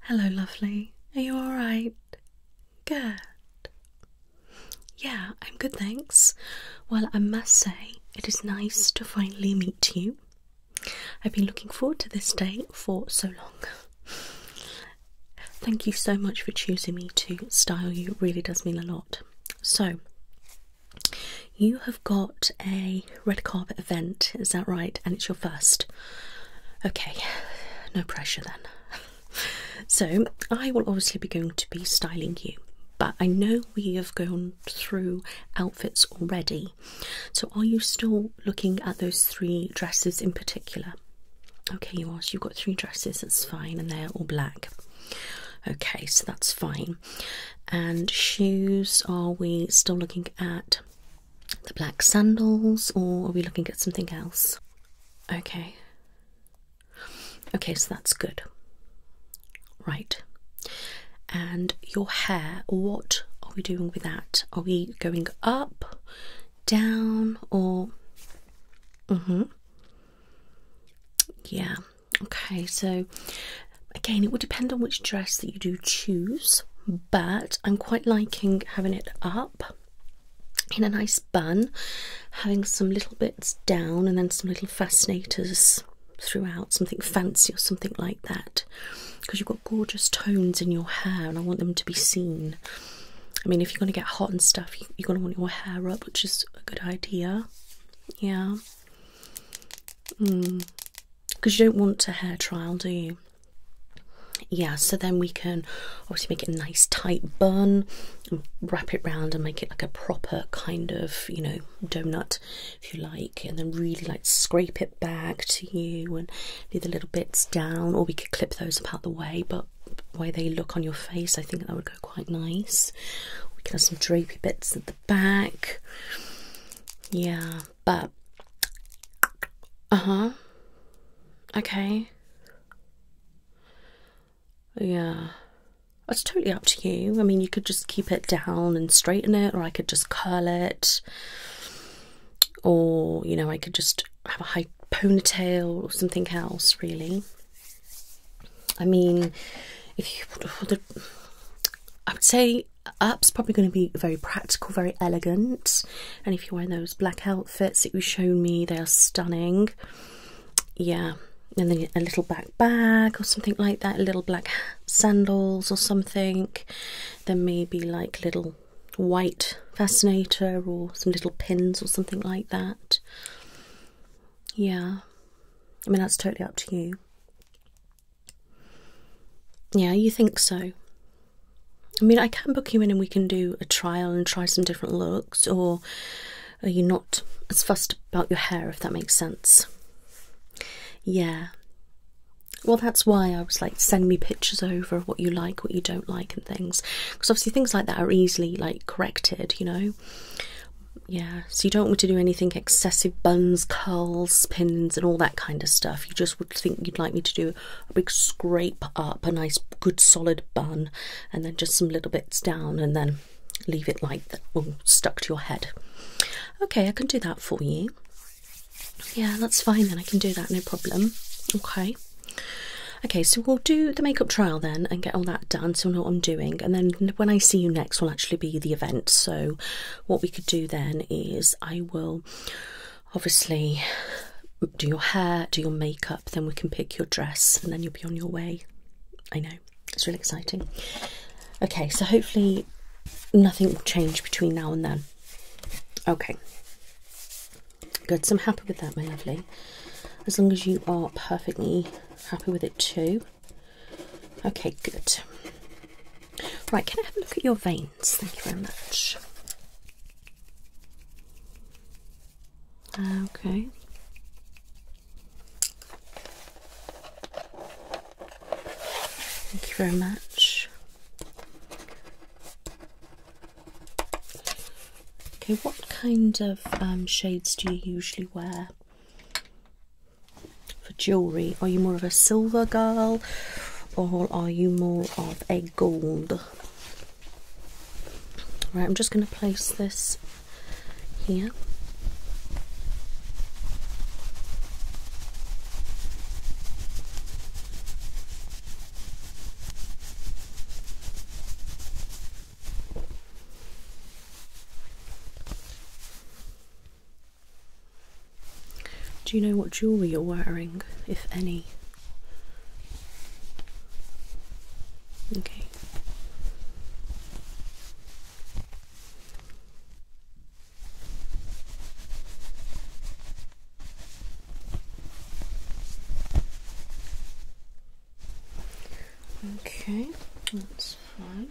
Hello, lovely. Are you alright? Good. Yeah, I'm good, thanks. Well, I must say, it is nice to finally meet you. I've been looking forward to this day for so long. Thank you so much for choosing me to style you, it really does mean a lot. So, you have got a red carpet event, is that right? And it's your first. Okay, no pressure then. so, I will obviously be going to be styling you, but I know we have gone through outfits already. So, are you still looking at those three dresses in particular? Okay, you are. So you've got three dresses, that's fine, and they're all black. Okay, so that's fine. And shoes, are we still looking at the black sandals or are we looking at something else? Okay. Okay, so that's good. Right. And your hair, what are we doing with that? Are we going up, down, or Mm-hmm. Yeah. Okay, so again, it will depend on which dress that you do choose, but I'm quite liking having it up in a nice bun, having some little bits down and then some little fascinators throughout, something fancy or something like that, because you've got gorgeous tones in your hair and I want them to be seen. I mean, if you're going to get hot and stuff, you're going to want your hair up, which is a good idea. Yeah. Because hmm. you don't want a hair trial, do you? Yeah, so then we can obviously make it a nice tight bun and wrap it round and make it like a proper kind of, you know, donut if you like, and then really like scrape it back to you and leave the little bits down, or we could clip those up out the way, but way they look on your face. I think that would go quite nice. We can have some drapey bits at the back. Yeah, but uh huh. Okay. Yeah. It's totally up to you. I mean, you could just keep it down and straighten it, or I could just curl it, or you know, I could just have a high ponytail or something else, really. I mean, if you I would say up's probably going to be very practical, very elegant, and if you're wearing those black outfits that you shown me, they are stunning. Yeah, and then a little black bag or something like that, little black sandals or something. Then maybe like little white fascinator or some little pins or something like that yeah, I mean, that's totally up to you. Yeah, you think so. I mean, I can book you in and we can do a trial and try some different looks, or are you not as fussed about your hair, if that makes sense? Yeah. Well, that's why I was like, send me pictures over of what you like, what you don't like, and things because obviously things like that are easily like corrected, you know. Yeah, so you don't want to do anything excessive buns, curls, pins, and all that kind of stuff. You just would think you'd like me to do a big scrape up, a nice good solid bun, and then just some little bits down, and then leave it like that, all stuck to your head. Okay, I can do that for you. Yeah, that's fine then. I can do that, no problem. Okay. Okay, so we'll do the makeup trial then and get all that done so I know what I'm doing. And then when I see you next will actually be the event. So what we could do then is I will obviously do your hair, do your makeup, then we can pick your dress and then you'll be on your way. I know, it's really exciting. Okay, so hopefully nothing will change between now and then. Okay. Good, so I'm happy with that, my lovely. As long as you are perfectly happy with it too. Okay, good. Right, can I have a look at your veins? Thank you very much. Okay. Thank you very much. Okay, what kind of um, shades do you usually wear for jewellery? Are you more of a silver girl or are you more of a gold? Right, I'm just going to place this here. Do you know what jewellery you're wearing, if any? Okay. Okay, that's fine.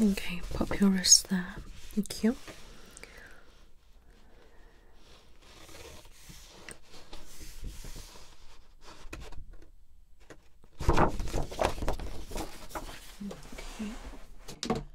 Okay, pop your wrist there. Thank you.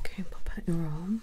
Okay, pop out your arm.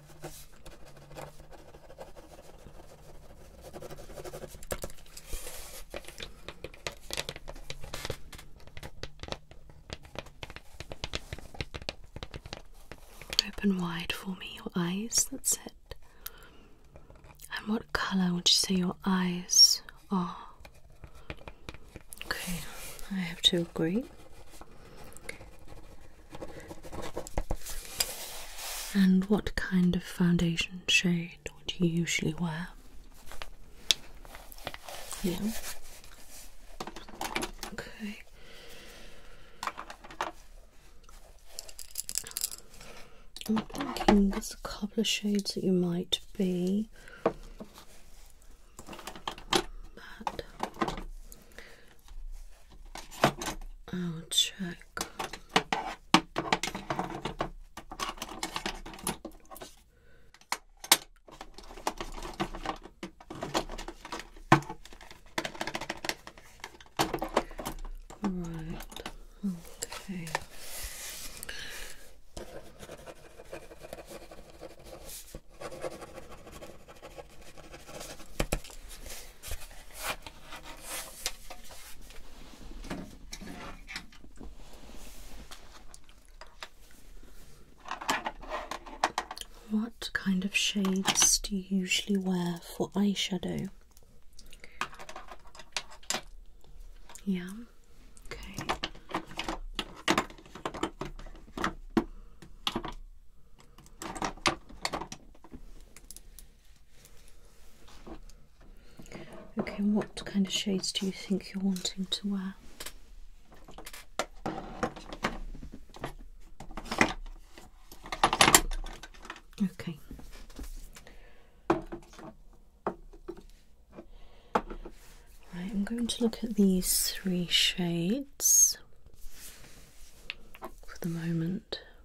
Open wide for me your eyes, that's it. And what colour would you say your eyes are? Okay, I have to agree. And what kind of foundation shade would you usually wear? Yeah. Okay. I'm thinking there's a couple of shades that you might be. I'll check. Right, okay. What kind of shades do you usually wear for eyeshadow? Yeah, okay. Okay, what kind of shades do you think you're wanting to wear? Okay. Right, I'm going to look at these three shades for the moment.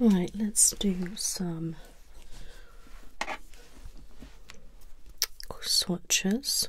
Right, let's do some swatches.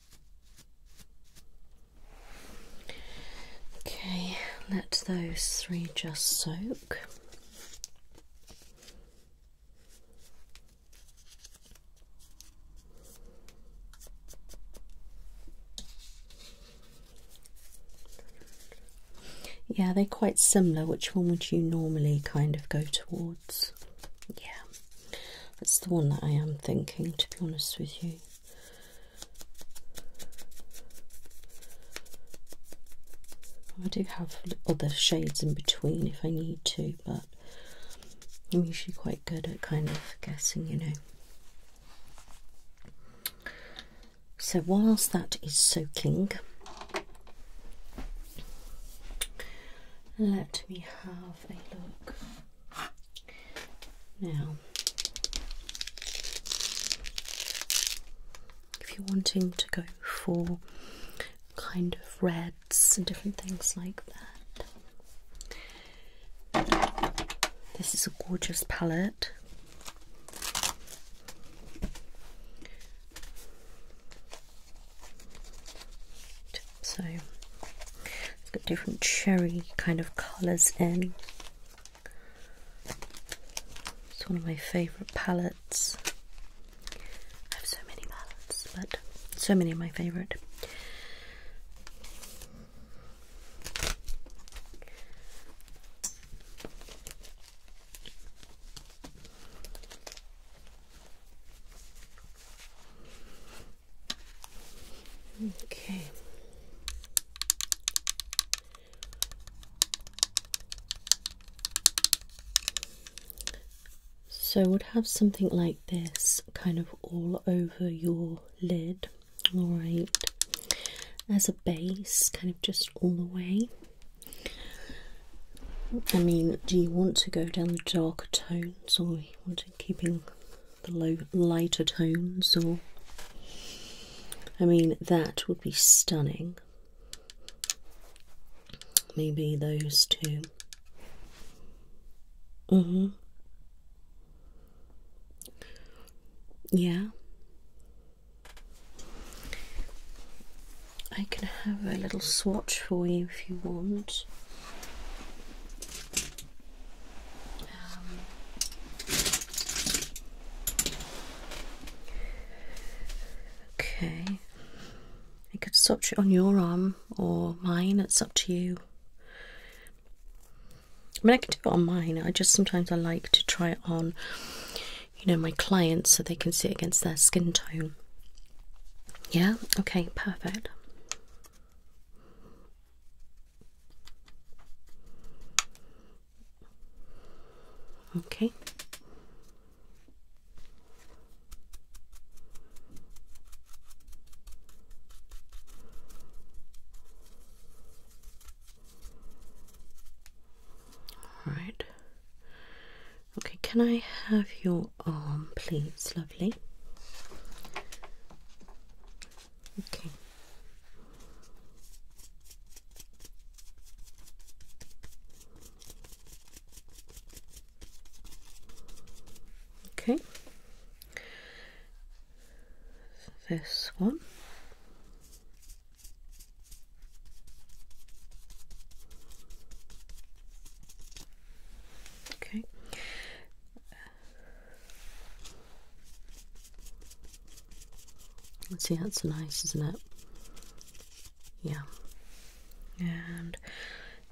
Okay, let those three just soak. Yeah, they're quite similar. Which one would you normally kind of go towards? Yeah. That's the one that I am thinking, to be honest with you. I do have other shades in between if I need to, but I'm usually quite good at kind of guessing, you know. So, whilst that is soaking, let me have a look. Now, if you're wanting to go for kind of reds and different things like that, this is a gorgeous palette. So it's got different cherry kind of colours in. It's one of my favourite palettes. I have so many palettes, but so many of my favourite. Okay. So, we would have something like this kind of all over your lid, all right, as a base, kind of just all the way. I mean, do you want to go down the darker tones or we want to keeping the low, lighter tones, or I mean, that would be stunning. Maybe those two. Mm hmm. Yeah. I can have a little swatch for you if you want. Um, okay, you could swatch it on your arm or mine, it's up to you. I mean, I can do it on mine. I just sometimes I like to try it on, you know, my clients so they can see it against their skin tone. Yeah. Okay. Perfect. Okay. All right. Okay, can I have your arm, please, Okay. Okay. This one. Okay. Let's see, that's nice, isn't it? Yeah. And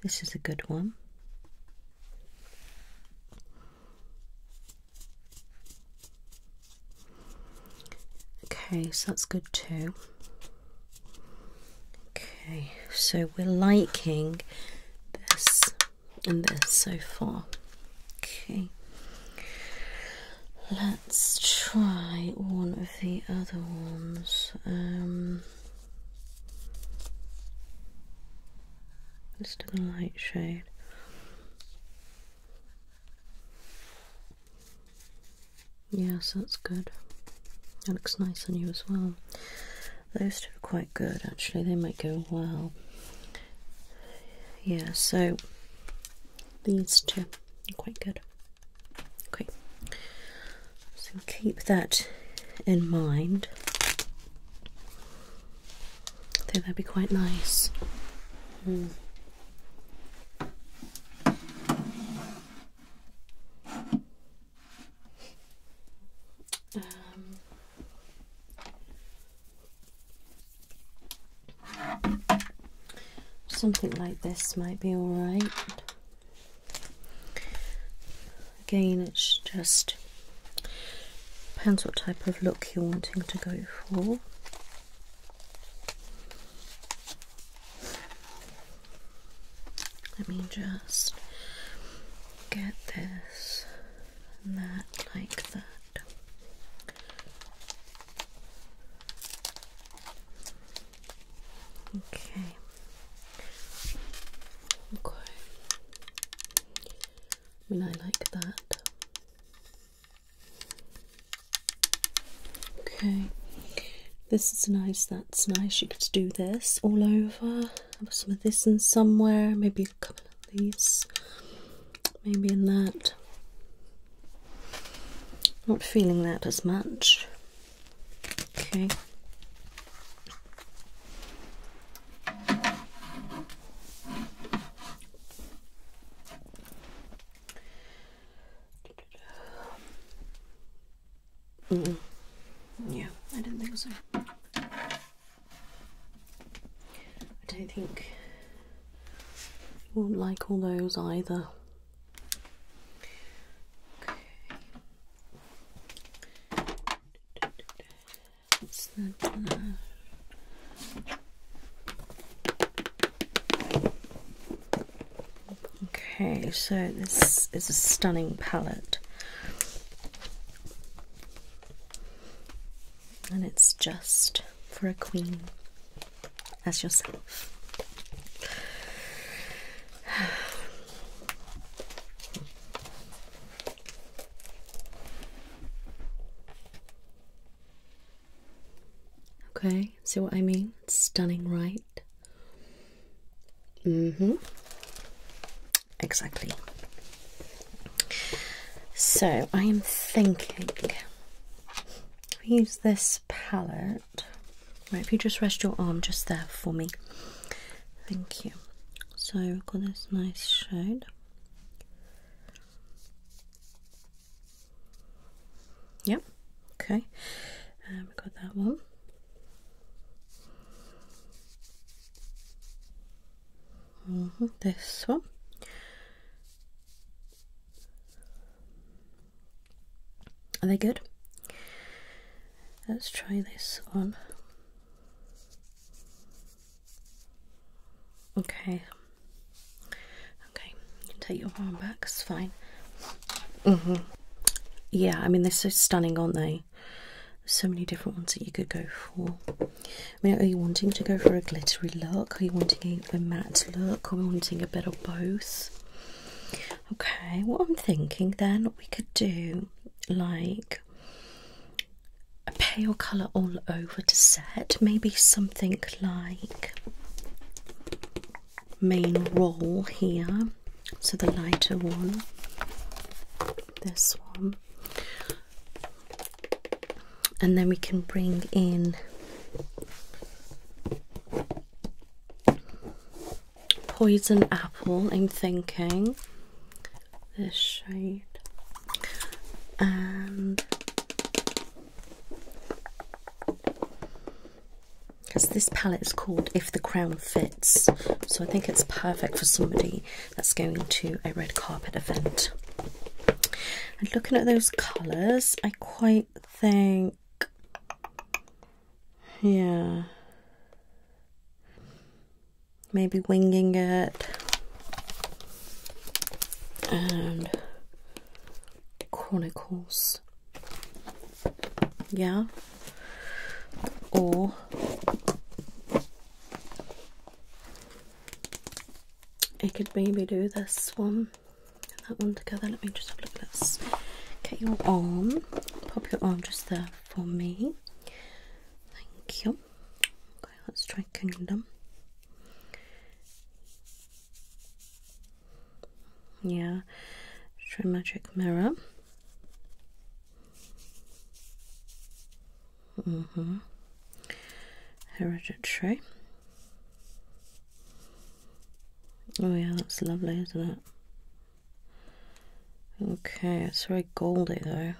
this is a good one. Okay, so that's good too. Okay, so we're liking this and this so far. Okay, let's try one of the other ones. Um, just the light shade. Yes, that's good. It looks nice on you as well. Those two are quite good actually, they might go well. Yeah, so these two are quite good. Okay, so keep that in mind. I think that'd be quite nice. Hmm. Um, Something like this might be alright. Again, it's just depends what type of look you're wanting to go for. Let me just get this that like that. Okay. Okay. I mean, I like that. Okay. This is nice, that's nice. You could do this all over some of this in somewhere, maybe a couple of these, maybe in that. Not feeling that as much. Okay. Yeah, I didn't think so. I don't think you won't like all those either. Okay. Okay, so this is a stunning palette and it's just for a queen as yourself. Okay, see what I mean? Stunning, right? Mm-hmm. Exactly. So I am thinking we use this palette. Right, if you just rest your arm just there for me. Thank you. So we have got this nice shade. Yep, okay. Um, got that one. Mm-hmm, this one. Are they good? Let's try this one. Okay. Okay, you take your arm back, it's fine. hmm Yeah, I mean, they're so stunning, aren't they? so many different ones that you could go for. I mean, are you wanting to go for a glittery look? Are you wanting a, a matte look? Are we wanting a bit of both? Okay, what I'm thinking then, we could do like a pale colour all over to set, maybe something like main roll here, so the lighter one this one and then we can bring in poison apple I'm thinking this shade and because this palette is called If the Crown Fits so I think it's perfect for somebody that's going to a red carpet event. And looking at those colours, I quite think, yeah, maybe winging it and Chronicles, yeah, or it could maybe do this one and that one together. Let me just have a look at this. Get your arm, pop your arm just there for me. Thank you. Okay, let's try Kingdom. Yeah, try Magic Mirror hmm. Hereditary. Oh, yeah, that's lovely, isn't it? Okay, it's very goldy though.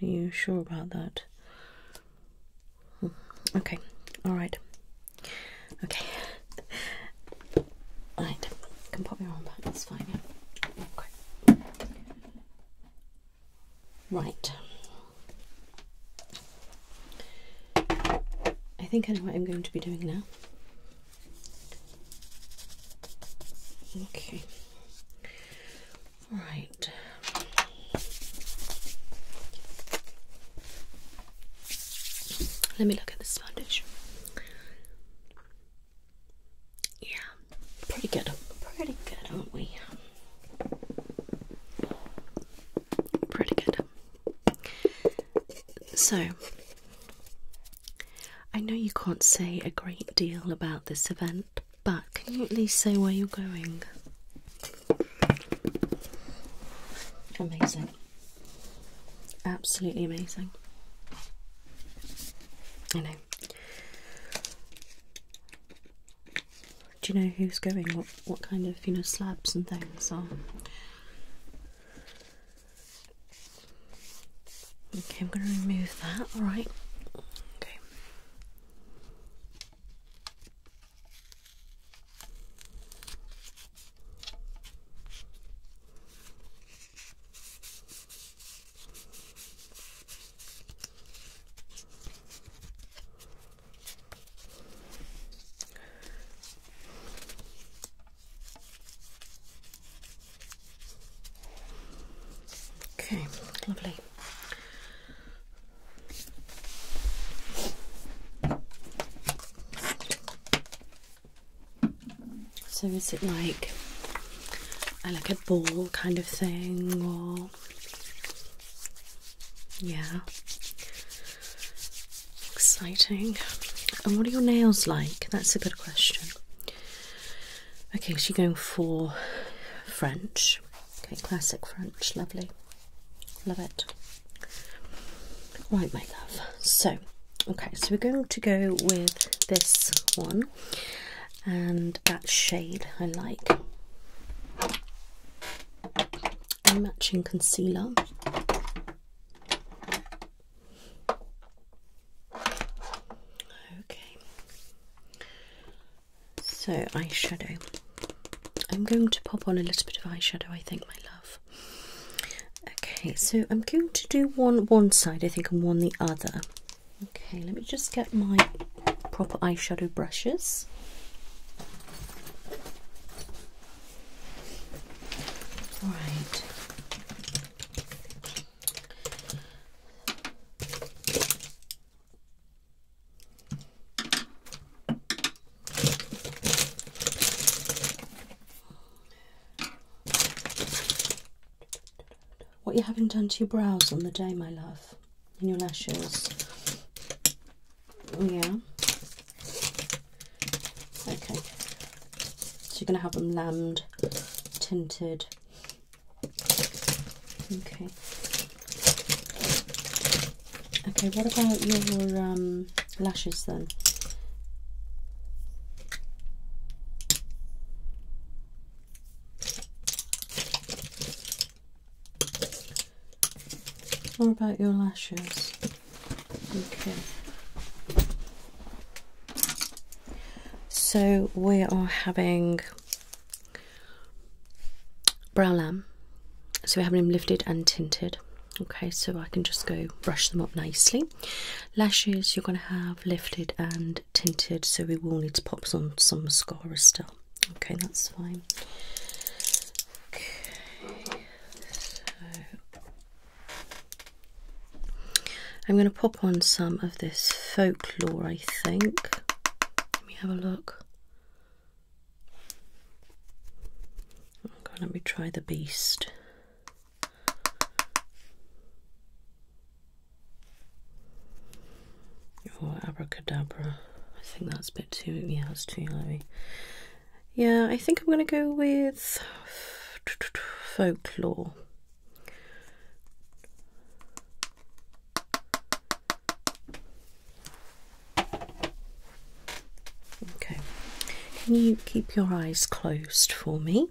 Are you sure about that? Hmm, okay, alright. Okay. alright, can pop your arm back, that's fine, Okay. Right. I think I know what I'm going to be doing now. Okay. Right. Let me look at this foundation. Yeah, pretty good. Pretty good, aren't we? Pretty good. So, I know you can't say a great deal about this event, but can you at least say where you're going? Amazing. Absolutely amazing. I know. Do you know who's going? What kind of you know slabs and things are? Okay, I'm going to remove that. Right. Okay. Okay, lovely. So is it like a, like a ball kind of thing or yeah. Exciting. And what are your nails like? That's a good question. Okay, so you're going for French. Okay, classic French. Lovely. Love it. Right, my love. So, okay, so we're going to go with this one and that shade I like. A matching concealer. Okay, so shadow. I'm going to pop on a little bit of eyeshadow, I think, my love. Okay, so I'm going to do one one side, I think, and one the other. Okay, let me just get my proper eyeshadow brushes. All right what you haven't done to your brows on the day, my love, and your lashes. Oh, yeah. Okay. So you're going to have them lammed, tinted. Okay. Okay, what about your um, lashes then? Or about your lashes. Okay. So we are having brow lam. So we're having them lifted and tinted. Okay, so I can just go brush them up nicely. Lashes you're going to have lifted and tinted, so we will need to pop on some mascara still. Okay, that's fine. Okay, so I'm going to pop on some of this folklore, I think. Let me have a look. Oh let me try the beast. Or abracadabra. I think that's a bit too, yeah, that's too heavy. Yeah, I think I'm going to go with folklore. Okay, can you keep your eyes closed for me?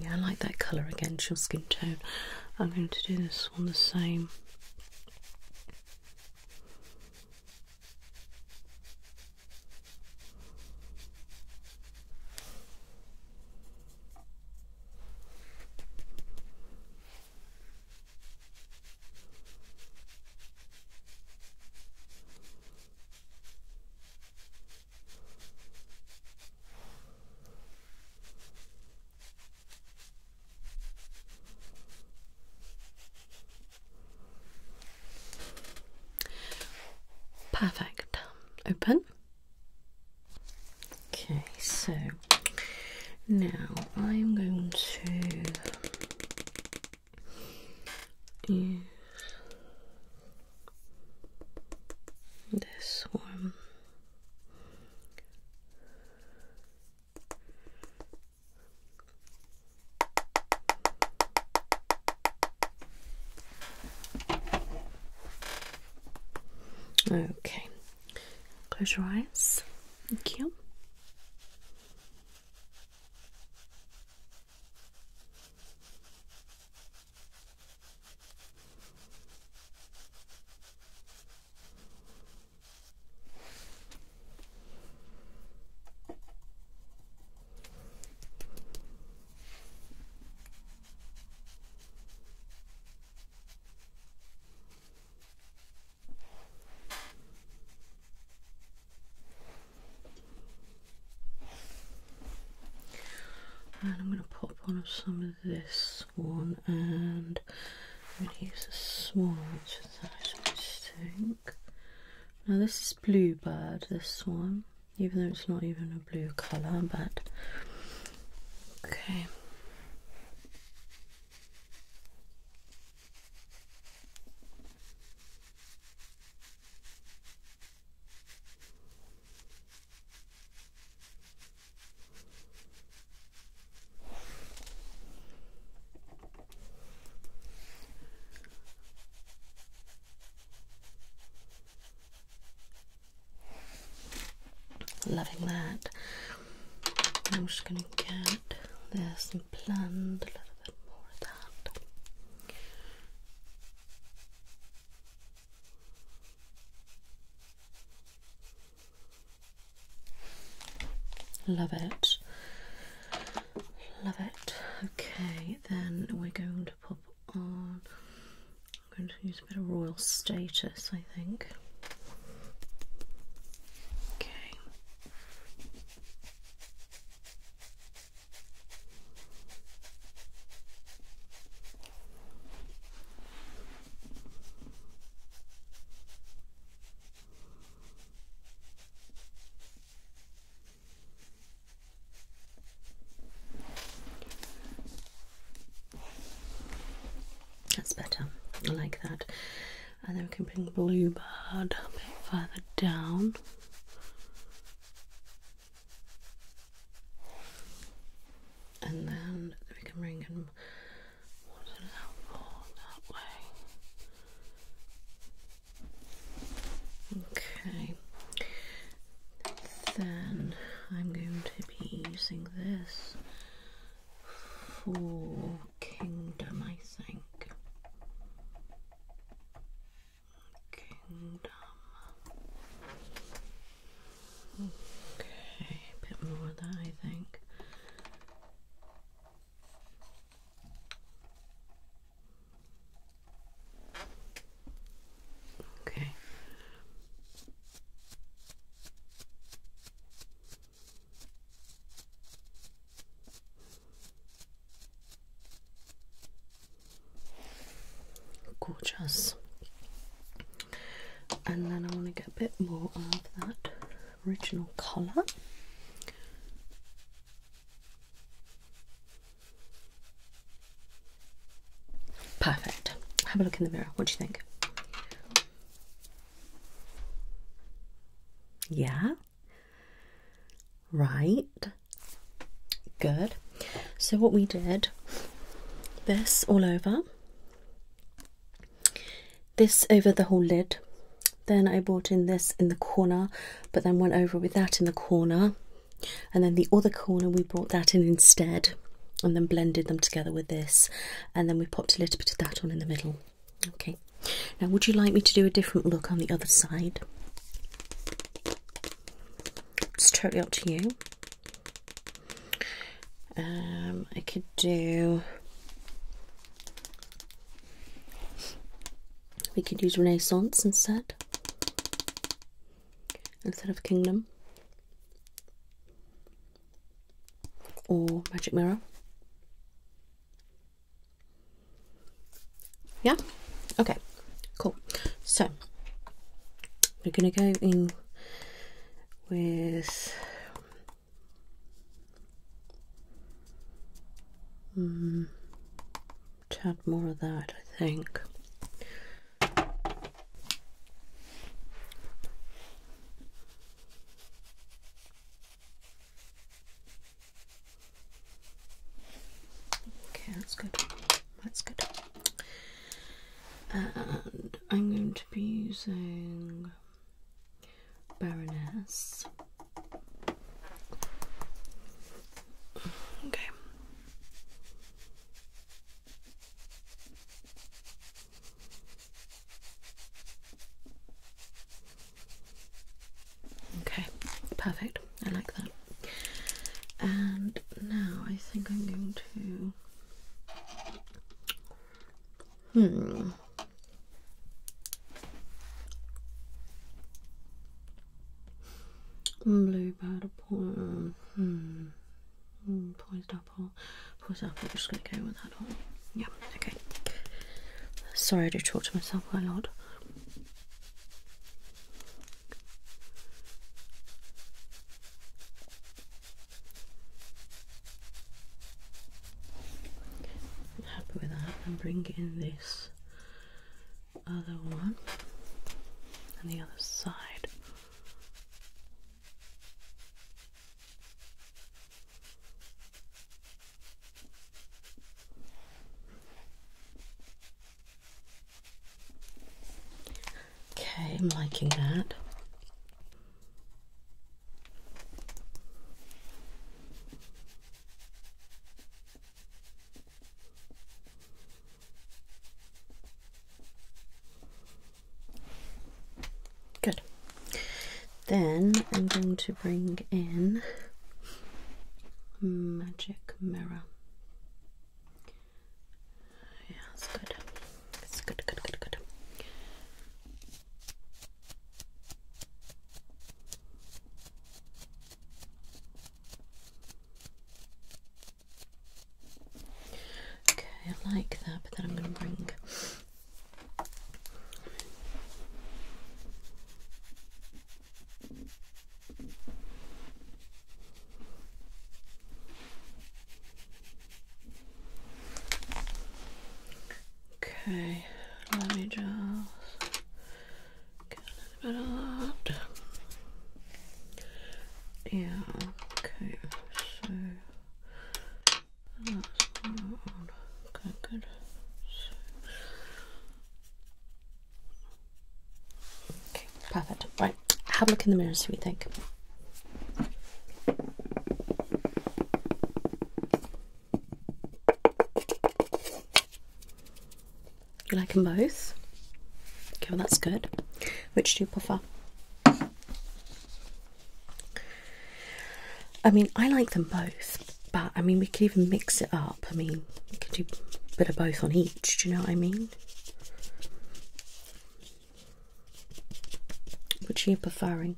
Yeah, I like that colour against your skin tone. I'm going to do this one the same. Perfect. Open. Okay, so now I'm going to use this one. Okay, close your eyes. Thank you. And I'm going to pop on of some of this one, and I'm going to use a small which is nice, I think. Now this is Bluebird, this one even though it's not even a blue colour, but okay. Loving that. I'm just gonna get this and blend a little bit more of that. Love it. Love it. Okay, then we're going to pop I'm going to use a bit of royal status, I think. Okay. That's better. I like that. And then we can bring Bluebird a bit further down. And then we can bring in more to that way. Okay. Then I'm going to be using this for kingdom, I think. Kingdom. Okay, a bit more of that, I think. Okay. Gorgeous. And then I want to get a bit more of that original colour. Perfect. Have a look in the mirror. What do you think? Yeah. Right. Good. So, what we did this all over, this over the whole lid. Then I brought in this in the corner, but then went over with that in the corner and then the other corner we brought that in instead and then blended them together with this and then we popped a little bit of that on in the middle okay now would you like me to do a different look on the other side it's totally up to you um, I could do we could use Renaissance instead instead of Kingdom or Magic Mirror. Yeah? Okay, cool. So, we're going to go in with... Chat mm, more of that, I think. Okay, that's good. That's good. And I'm going to be using Baroness. Okay. Okay, perfect. I like that. And now I think I'm going to. Hmm. Blue butterfly. Hmm. Mm, poised up hole. Poised up. I'm just going to go with that one. Yep. okay. Sorry, I do talk to myself quite a lot. happy with that. And bring in this other one and the other side. Okay, I'm liking that. Good. Then I'm going to bring in magic mirror. Yeah, that's good. It's good, good, good, good. Okay, I like that, but then I'm going to bring Okay, let me just get a bit of that yeah, okay, so that's not good. So. Okay, perfect. Right, have a look in the mirrors. Do see you think. You like them both? Okay, well that's good. Which do you prefer? I mean, I like them both, but I mean, we could even mix it up. I mean, we could do a bit of both on each, do you know what I mean? Which you are preferring?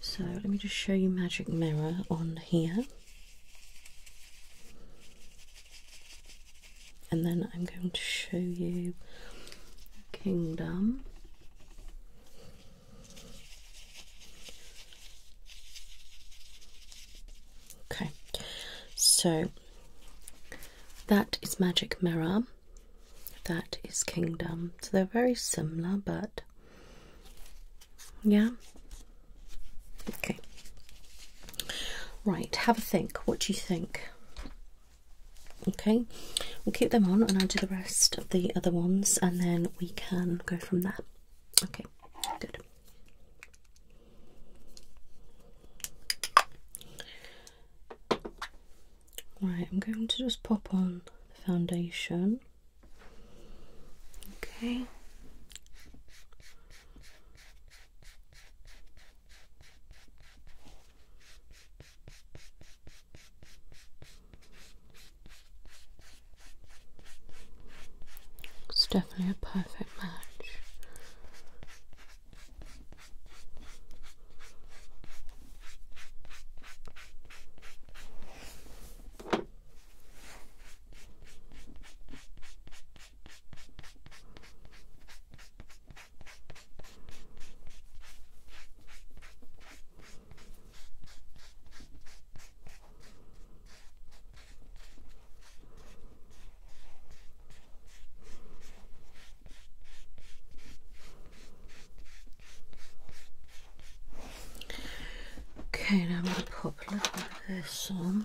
So let me just show you Magic Mirror on here and then I'm going to show you kingdom. Okay, so that is Magic Mirror, that is Kingdom. So they're very similar, but yeah, Okay. Right, have a think. What do you think? Okay, we'll keep them on and I'll do the rest of the other ones and then we can go from there. Okay, good. Right, I'm going to just pop on the foundation. Okay. It's definitely a perfect match. Okay, now I'm going to pop a little bit of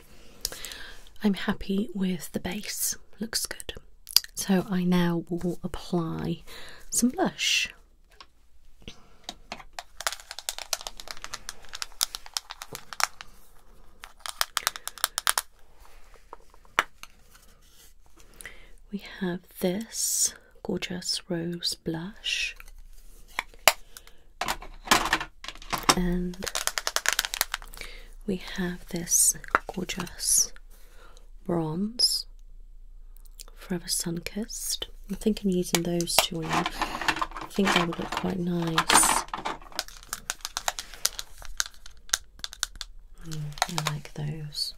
I'm happy with the base, looks good. So I now will apply some blush. We have this gorgeous rose blush and we have this gorgeous bronze forever sun kissed i'm using those two on i think they would look quite nice mm, i like those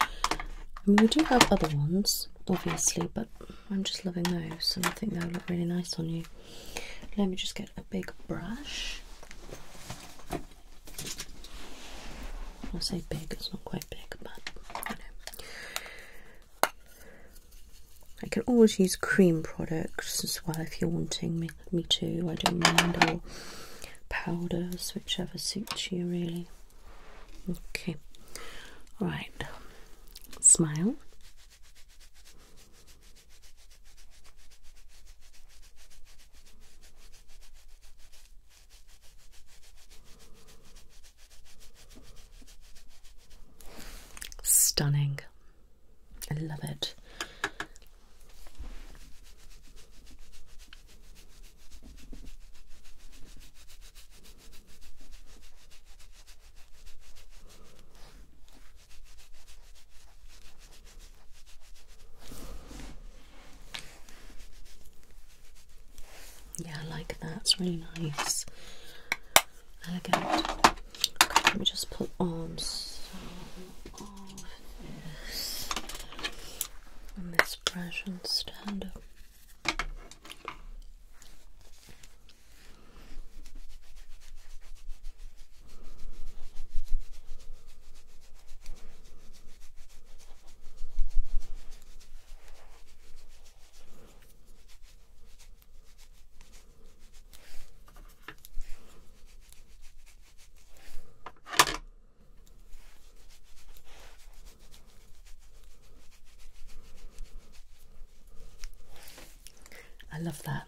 I mean, we do have other ones obviously but i'm just loving those and i think they'll look really nice on you let me just get a big brush. I say big, it's not quite big, but I can always use cream products as well if you're wanting me, to, I don't mind, all powders, whichever suits you really. Okay, alright, smile. Stunning. I love it. Yeah, I like that. It's really nice. Elegant. let me just put on some of this on this brush and stand up. I love that.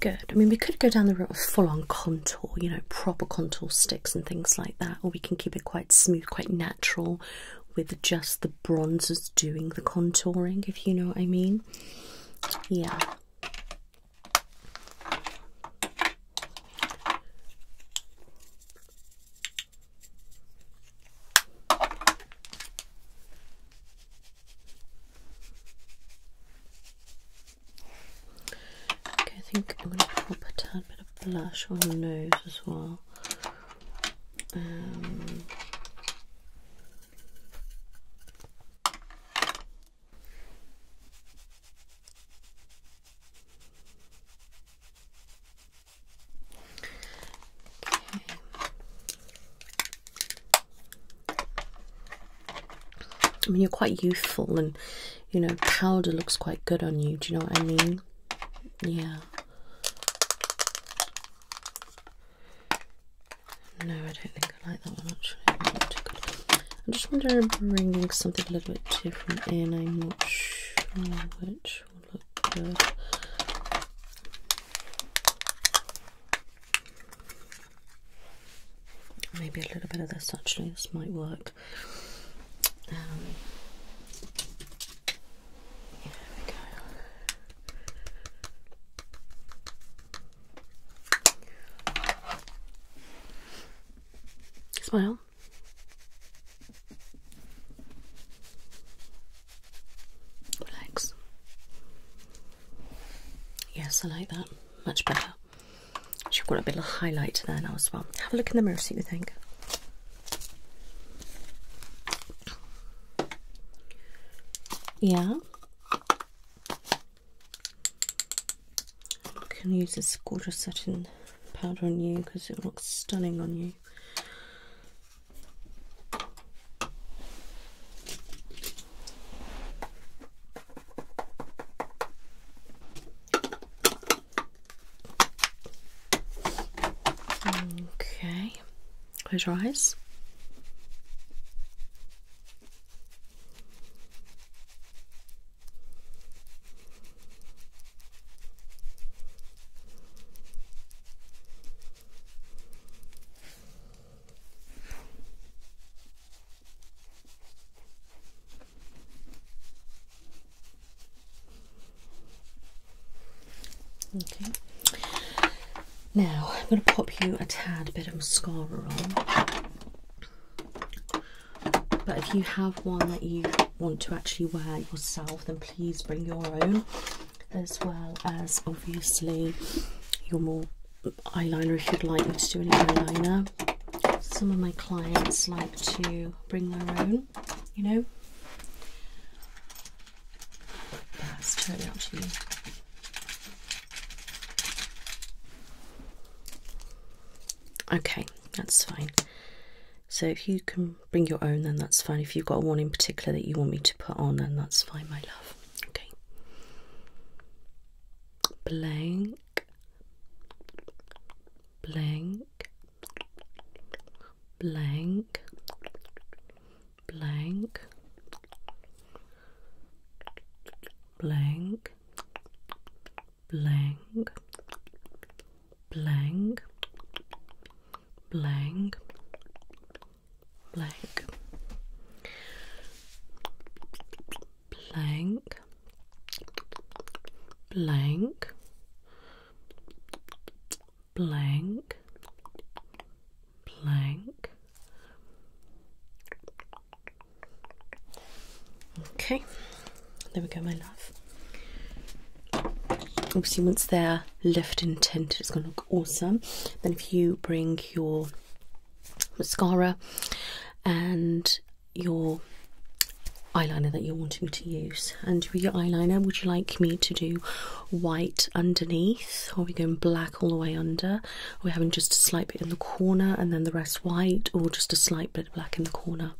Good. I mean, we could go down the route of full on contour, you know, proper contour sticks and things like that, or we can keep it quite smooth, quite natural with just the bronzers doing the contouring, if you know what I mean. Yeah. Okay, I think I'm going to put a tad bit of blush on the nose as well. Um, I mean, you're quite youthful, and you know, powder looks quite good on you. Do you know what I mean? Yeah. No, I don't think I like that one actually. I'm just wondering bringing something a little bit different in. I'm not sure which will look good. Maybe a little bit of this actually, this might work. yeah, um, there we go. Smile. Relax. Yes, I like that. Much better. Should have got a bit of highlight there now as well. Have a look in the mirror, see what you think. Yeah. can use this gorgeous setting powder on you because it looks stunning on you. Okay, close your eyes. Okay. Now I'm going to pop you a tad bit of mascara on. But if you have one that you want to actually wear yourself, then please bring your own, as well as obviously your more eyeliner if you'd like me to do any eyeliner. Some of my clients like to bring their own, you know. That's totally up to you. Okay, that's fine. So if you can bring your own, then that's fine. If you've got one in particular that you want me to put on, then that's fine, my love. Okay. Blank. Blank. Blank. Blank. Blank blank, blank, blank, blank, blank, blank, blank, blank. Okay, there we go, my love. Obviously, once they're left and tinted, it's going to look awesome. Then, if you bring your mascara and your eyeliner that you're wanting to use, and with your eyeliner, would you like me to do white underneath, or are we going black all the way under? Are we having just a slight bit in the corner and then the rest white, or just a slight bit of black in the corner?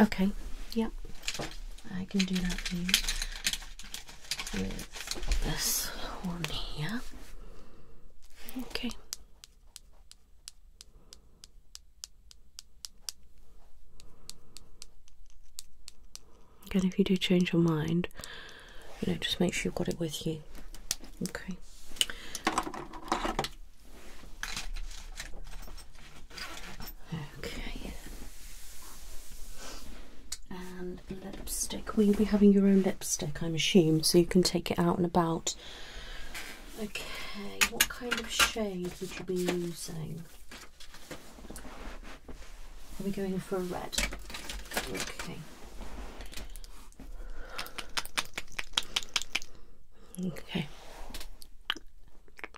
Okay, yep, I can do that for with this one here. Okay. Again, if you do change your mind, you know, just make sure you've got it with you. Okay. Okay. And lipstick. Will you be having your own lipstick, I'm assuming, so you can take it out and about? Okay, what kind of shade would you be using? Are we going for a red? Okay. Okay.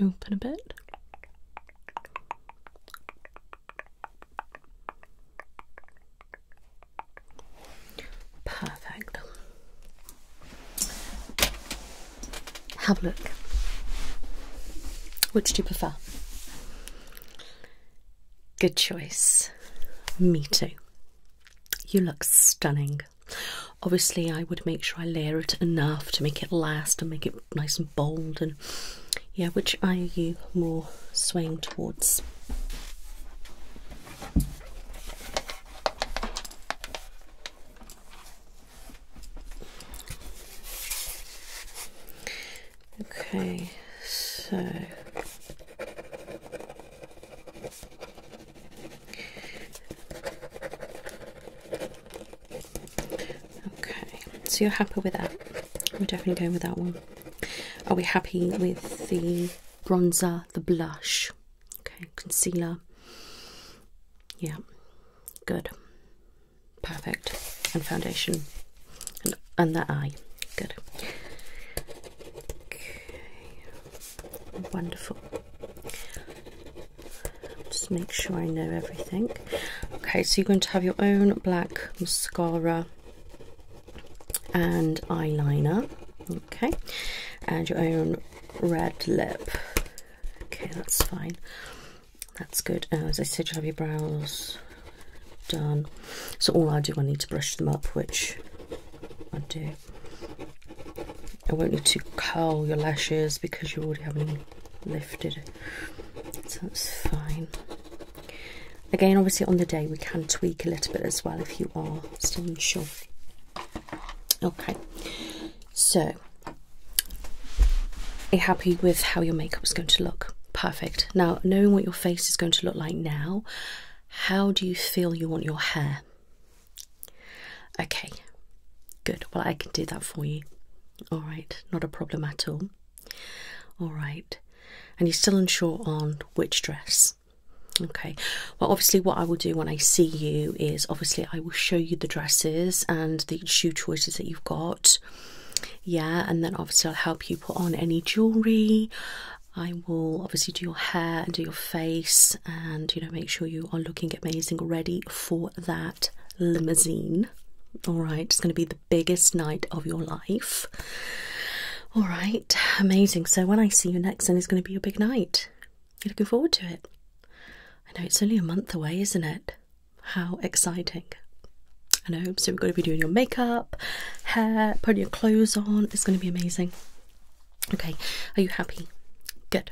Open a bit. Perfect. Have a look. Which do you prefer? Good choice. Me too. You look stunning. Obviously, I would make sure I layer it enough to make it last and make it nice and bold. And yeah, which are you more swaying towards? Okay, so Okay, so you're happy with that? We're definitely going with that one. Are we happy with the bronzer, the blush? Okay, concealer. Yeah, good. Perfect. And foundation. And, the eye. Good. Okay. Wonderful. Just make sure I know everything. Okay, so you're going to have your own black mascara and eyeliner. Okay, and your own red lip. Okay, that's fine. That's good. Uh, as I said, you have your brows done. So all I do, I need to brush them up, which I do I It won't look too curl your lashes because you already have them lifted, so that's fine. Again, obviously, on the day we can tweak a little bit as well if you are still unsure. Okay, so are you happy with how your makeup is going to look? Perfect. Now, knowing what your face is going to look like now, how do you feel you want your hair? Okay, good. Well, I can do that for you. All right, not a problem at all. All right, and you're still unsure on which dress. Okay, well, obviously, what I will do when I see you is obviously I will show you the dresses and the shoe choices that you've got. Yeah, and then obviously I'll help you put on any jewellery, I will obviously do your hair and do your face and you know make sure you are looking amazing ready for that limousine. Alright, it's gonna be the biggest night of your life. Alright, amazing. So when I see you next and it's gonna be a big night. You're looking forward to it. I know it's only a month away, isn't it? How exciting. I know, so we're gonna be doing your makeup, hair, putting your clothes on, it's gonna be amazing. Okay, are you happy? Good.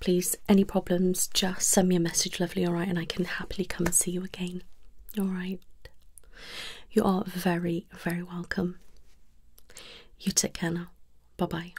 Please, any problems, just send me a message, lovely, alright, and I can happily come and see you again. Alright. You are very, very welcome. You take care now. Bye bye.